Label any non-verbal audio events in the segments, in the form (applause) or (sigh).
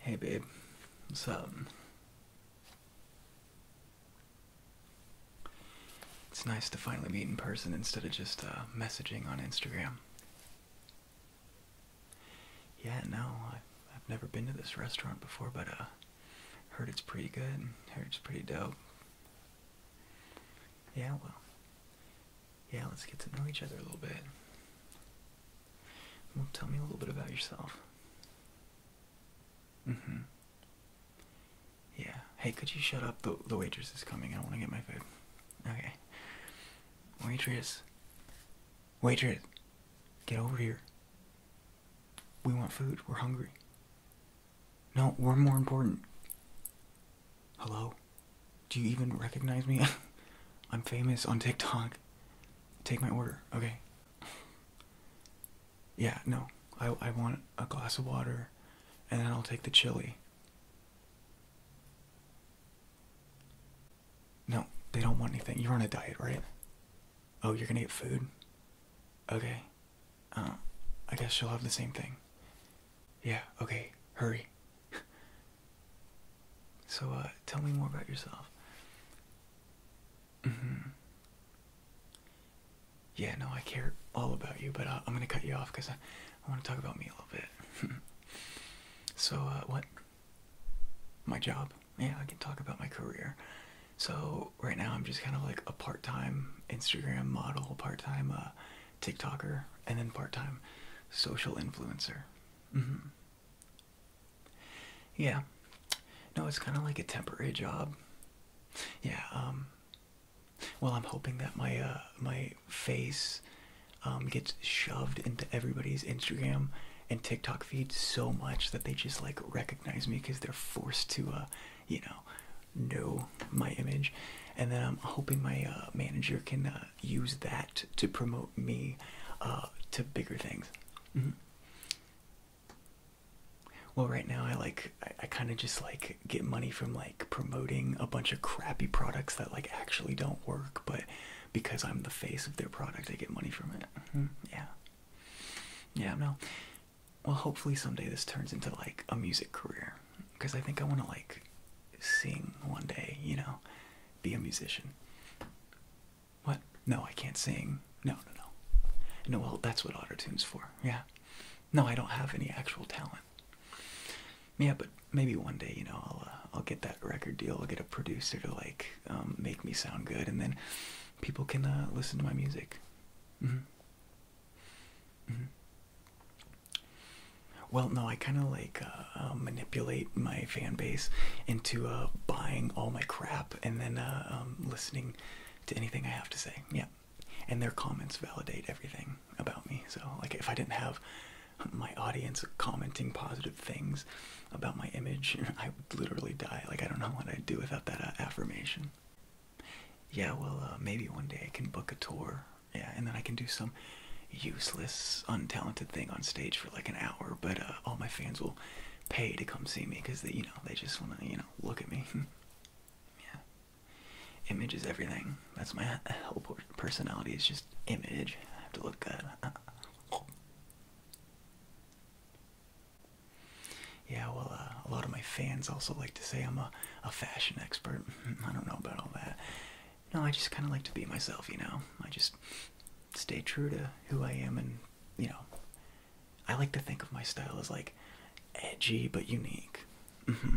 Hey, babe. What's up? It's nice to finally meet in person instead of just uh, messaging on Instagram. Yeah, no, I've, never been to this restaurant before, but uh, heard it's pretty good. Heard it's pretty dope. Yeah, well, yeah, let's get to know each other a little bit. Well, tell me a little bit about yourself. Mm-hmm. Yeah. Hey, could you shut up? The, the waitress is coming. I want to get my food. Okay. Waitress. Waitress, get over here. We want food. We're hungry. No, we're more important. Hello? Do you even recognize me? (laughs) I'm famous on TikTok. Take my order, okay? (laughs) yeah, no. I, I want a glass of water and then I'll take the chili. No, they don't want anything. You're on a diet, right? Oh, you're gonna eat food? Okay. Uh, I guess she'll have the same thing. Yeah, okay. Hurry. (laughs) so, uh, tell me more about yourself. Mm hmm. Yeah, no, I care all about you, but uh, I'm gonna cut you off because I, I want to talk about me a little bit. (laughs) so, uh, what? My job? yeah, I can talk about my career. So right now I'm just kind of like a part-time Instagram model, part-time uh, TikToker, and then part-time social influencer. Mm-hmm. Yeah, no, it's kind of like a temporary job. Yeah. Um, well, I'm hoping that my uh, my face um, gets shoved into everybody's Instagram and TikTok feeds so much that they just like recognize me because they're forced to, uh, you know, know my image. And then I'm hoping my uh, manager can uh, use that to promote me to bigger things. Mm-hmm. Well, right now I like I kind of just like get money from like promoting a bunch of crappy products that like actually don't work, but because I'm the face of their product, I get money from it. Mm-hmm. Yeah. Yeah, no. Well, hopefully someday this turns into like a music career because I think I want to like sing one day, you know, be a musician. What? No, I can't sing. No, no, no. No, well, that's what auto tune's for. Yeah. No, I don't have any actual talent yeah, but maybe one day, you know, I'll uh, I'll get that record deal. I'll get a producer to like um, make me sound good, and then people can uh, listen to my music. Mm-hmm. Mm-hmm. Well, no, I kind of like uh, manipulate my fan base into buying all my crap and then um, listening to anything I have to say. Yeah, and their comments validate everything about me. So, like, if I didn't have my audience commenting positive things about my image, (laughs) I would literally die. Like, I don't know what I'd do without that uh, affirmation. Yeah, well, uh, maybe one day I can book a tour. Yeah, and then I can do some useless, untalented thing on stage for like an hour, but uh, all my fans will pay to come see me because they, you know, they just want to, you know, look at me. (laughs) yeah. Image is everything. That's my whole personality. It's just image. I have to look good. Yeah, well, uh, a lot of my fans also like to say I'm a, a fashion expert. (laughs) I don't know about all that. No, I just kind of like to be myself, you know? I just stay true to who I am and, you know, I like to think of my style as like edgy but unique. Mm-hmm.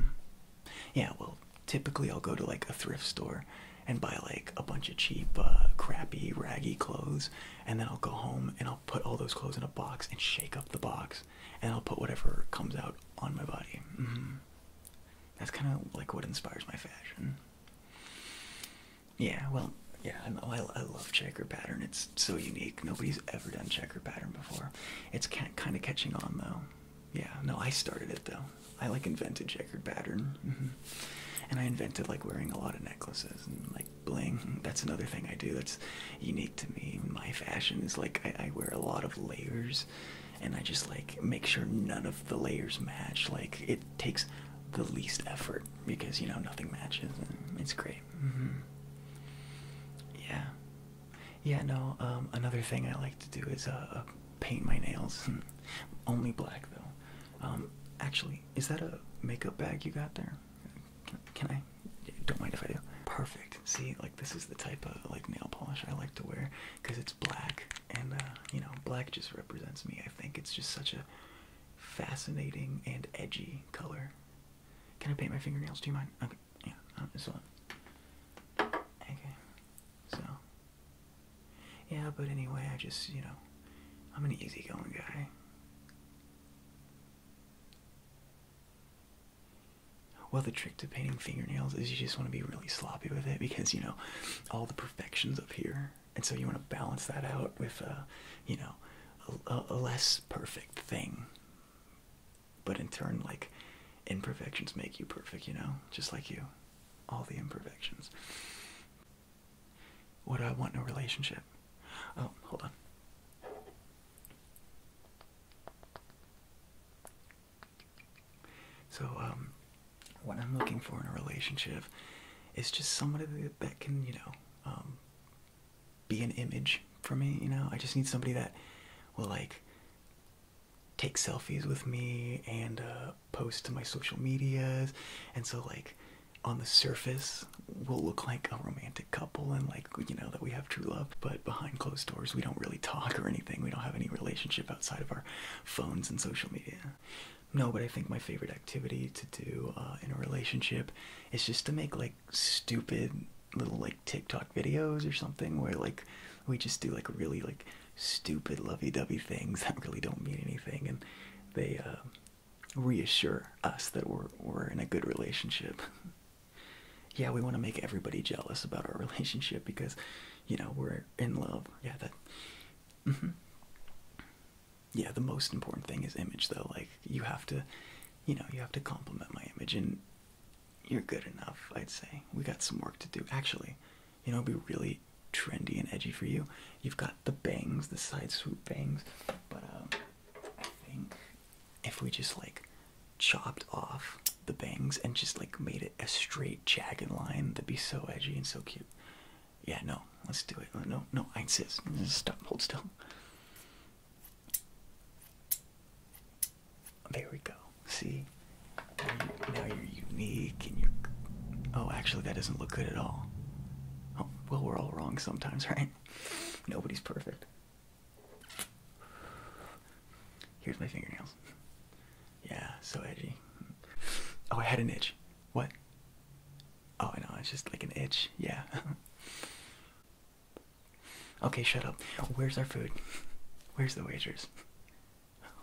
Yeah, well, typically I'll go to like a thrift store and buy like a bunch of cheap, uh, crappy, raggy clothes, and then I'll go home and I'll put all those clothes in a box and shake up the box, and I'll put whatever comes out on my body. Mm-hmm. That's kind of like what inspires my fashion. Yeah, well, yeah, I I love checker pattern. It's so unique. Nobody's ever done checker pattern before. It's kind of catching on though. Yeah, no, I started it though. I like invented checkered pattern. Mm-hmm. And I invented like wearing a lot of necklaces and like bling. That's another thing I do that's unique to me. My fashion is like I, wear a lot of layers and I just like make sure none of the layers match. Like it takes the least effort because you know nothing matches. And it's great. Mm-hmm. Yeah yeah, no. Um, another thing I like to do is uh, uh, paint my nails. (laughs) Only black though. Um, actually, is that a makeup bag you got there? Can, I? don't mind if I do. Perfect. See, like this is the type of like nail polish I like to wear because it's black, and uh, you know, black just represents me. I think it's just such a fascinating and edgy color. Can I paint my fingernails? Do you mind? Yeah, this one. Okay, so. Yeah, but anyway, I just, you know, I'm an easygoing guy. Well, the trick to painting fingernails is you just want to be really sloppy with it because, you know, all the perfection's up here. And so you want to balance that out with, a, uh, you know, a less perfect thing but in turn like imperfections make you perfect you know just like you all the imperfections what do i want in a relationship oh hold on so um, what i'm looking for in a relationship is just somebody that can you know um, be an image for me you know i just need somebody that will like take selfies with me and uh, post to my social medias and so like on the surface we'll look like a romantic couple and like you know that we have true love but behind closed doors we don't really talk or anything we don't have any relationship outside of our phones and social media no but i think my favorite activity to do uh, in a relationship is just to make like stupid little like TikTok videos or something where like we just do like really like stupid lovey-dovey things (laughs) that really don't mean anything and they um, reassure us that we're we're in a good relationship. (laughs) yeah, we want to make everybody jealous about our (laughs) relationship because you know we're in love. Yeah, that. Mm-hmm. Yeah, the most important thing is image though. Like you have to, you know, you have to compliment my image and you're good enough, I'd say. We got some work to do. Actually, you know, be really trendy and edgy for you. You've got the bangs, the side swoop bangs, but um, I think if we just like chopped off the bangs and just like made it a straight jagged line, that'd be so edgy and so cute. Yeah, no, let's do it. No, no, I insist. Stop, hold still. There we go. See? Now you're unique and you're. Oh, actually, that doesn't look good at all. Oh, well, we're all wrong sometimes, (laughs) right? Nobody's perfect. Here's my fingernails. Yeah, so edgy. Oh, I had an itch. What? Oh, I know, it's just like an itch. Yeah. (laughs) Okay, shut up. Where's our food? Where's the waiters?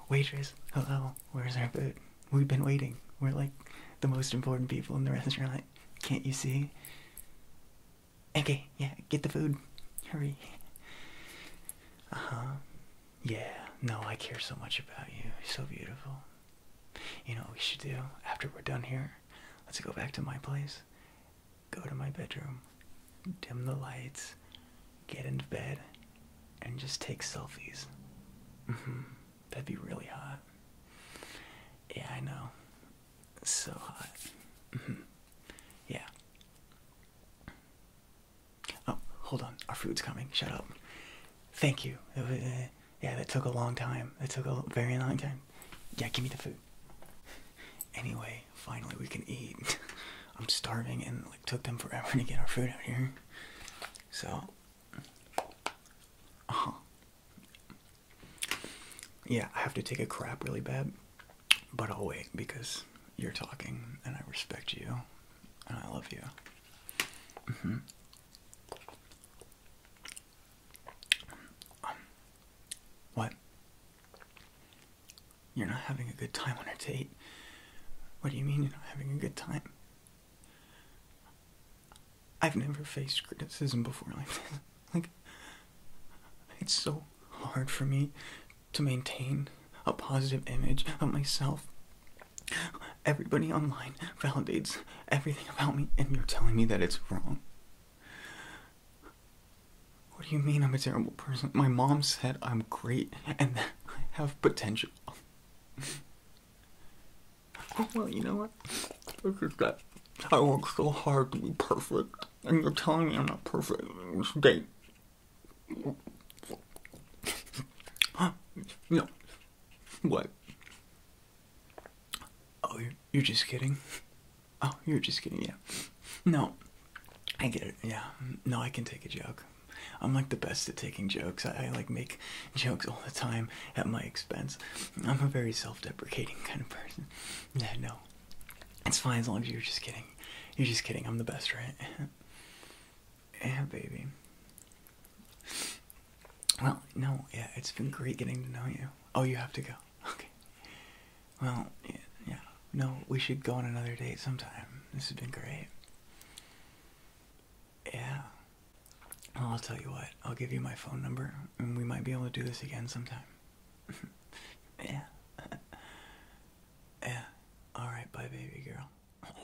Waiters? hello. Where's our food? We've been waiting. We're like the most important people in the restaurant. Like, Can't you see? Okay, yeah, get the food. Hurry. Uh huh. Yeah, no, I care so much about you. You're so beautiful. You know what we should do after we're done here? Let's go back to my place go to my bedroom, dim the lights, get into bed, and just take selfies. Mm-hmm. That'd be really hot. Yeah, I know. So hot. Mm-hmm. yeah. Oh, hold on. Our food's coming. Shut up. Thank you. Yeah, that took a long time. That took a very long time. Yeah, give me the food. Anyway, finally we can eat. (laughs) I'm starving and like took them forever to get our food out here. So, uh-huh. yeah, I have to take a crap really bad, but I'll wait because you're talking and I respect you and I love you. Mm-hmm what? You're not having a good time on a date? What do you mean you're not having a good time? I've never faced criticism before like this. (laughs) Like, it's so hard for me to maintain a positive image of myself. Everybody online validates everything about me and you're telling me that it's wrong. What do you mean I'm a terrible person? My mom said I'm great and that I have potential. (laughs) well, you know what? Look at that. I work so hard to be perfect, and you're telling me I'm not perfect in this date. No. What? Oh, you're, just kidding. (laughs) Oh, you're just kidding, yeah. No, I get it, yeah. No, I can take a joke. I'm like the best at taking jokes. I, I like make jokes all the time at my expense. I'm a very self deprecating kind of person. (laughs) Yeah, no. It's fine as long as you're just kidding. You're just kidding. I'm the best, right? (laughs) yeah, baby. Well, no, yeah, it's been great getting to know you. Oh, you have to go. (laughs) Okay. Well, yeah, No, we should go on another date sometime. This has been great. Yeah. Well, I'll tell you what. I'll give you my phone number, and we might be able to do this again sometime. (laughs) yeah. (laughs) yeah. All right, bye, baby girl.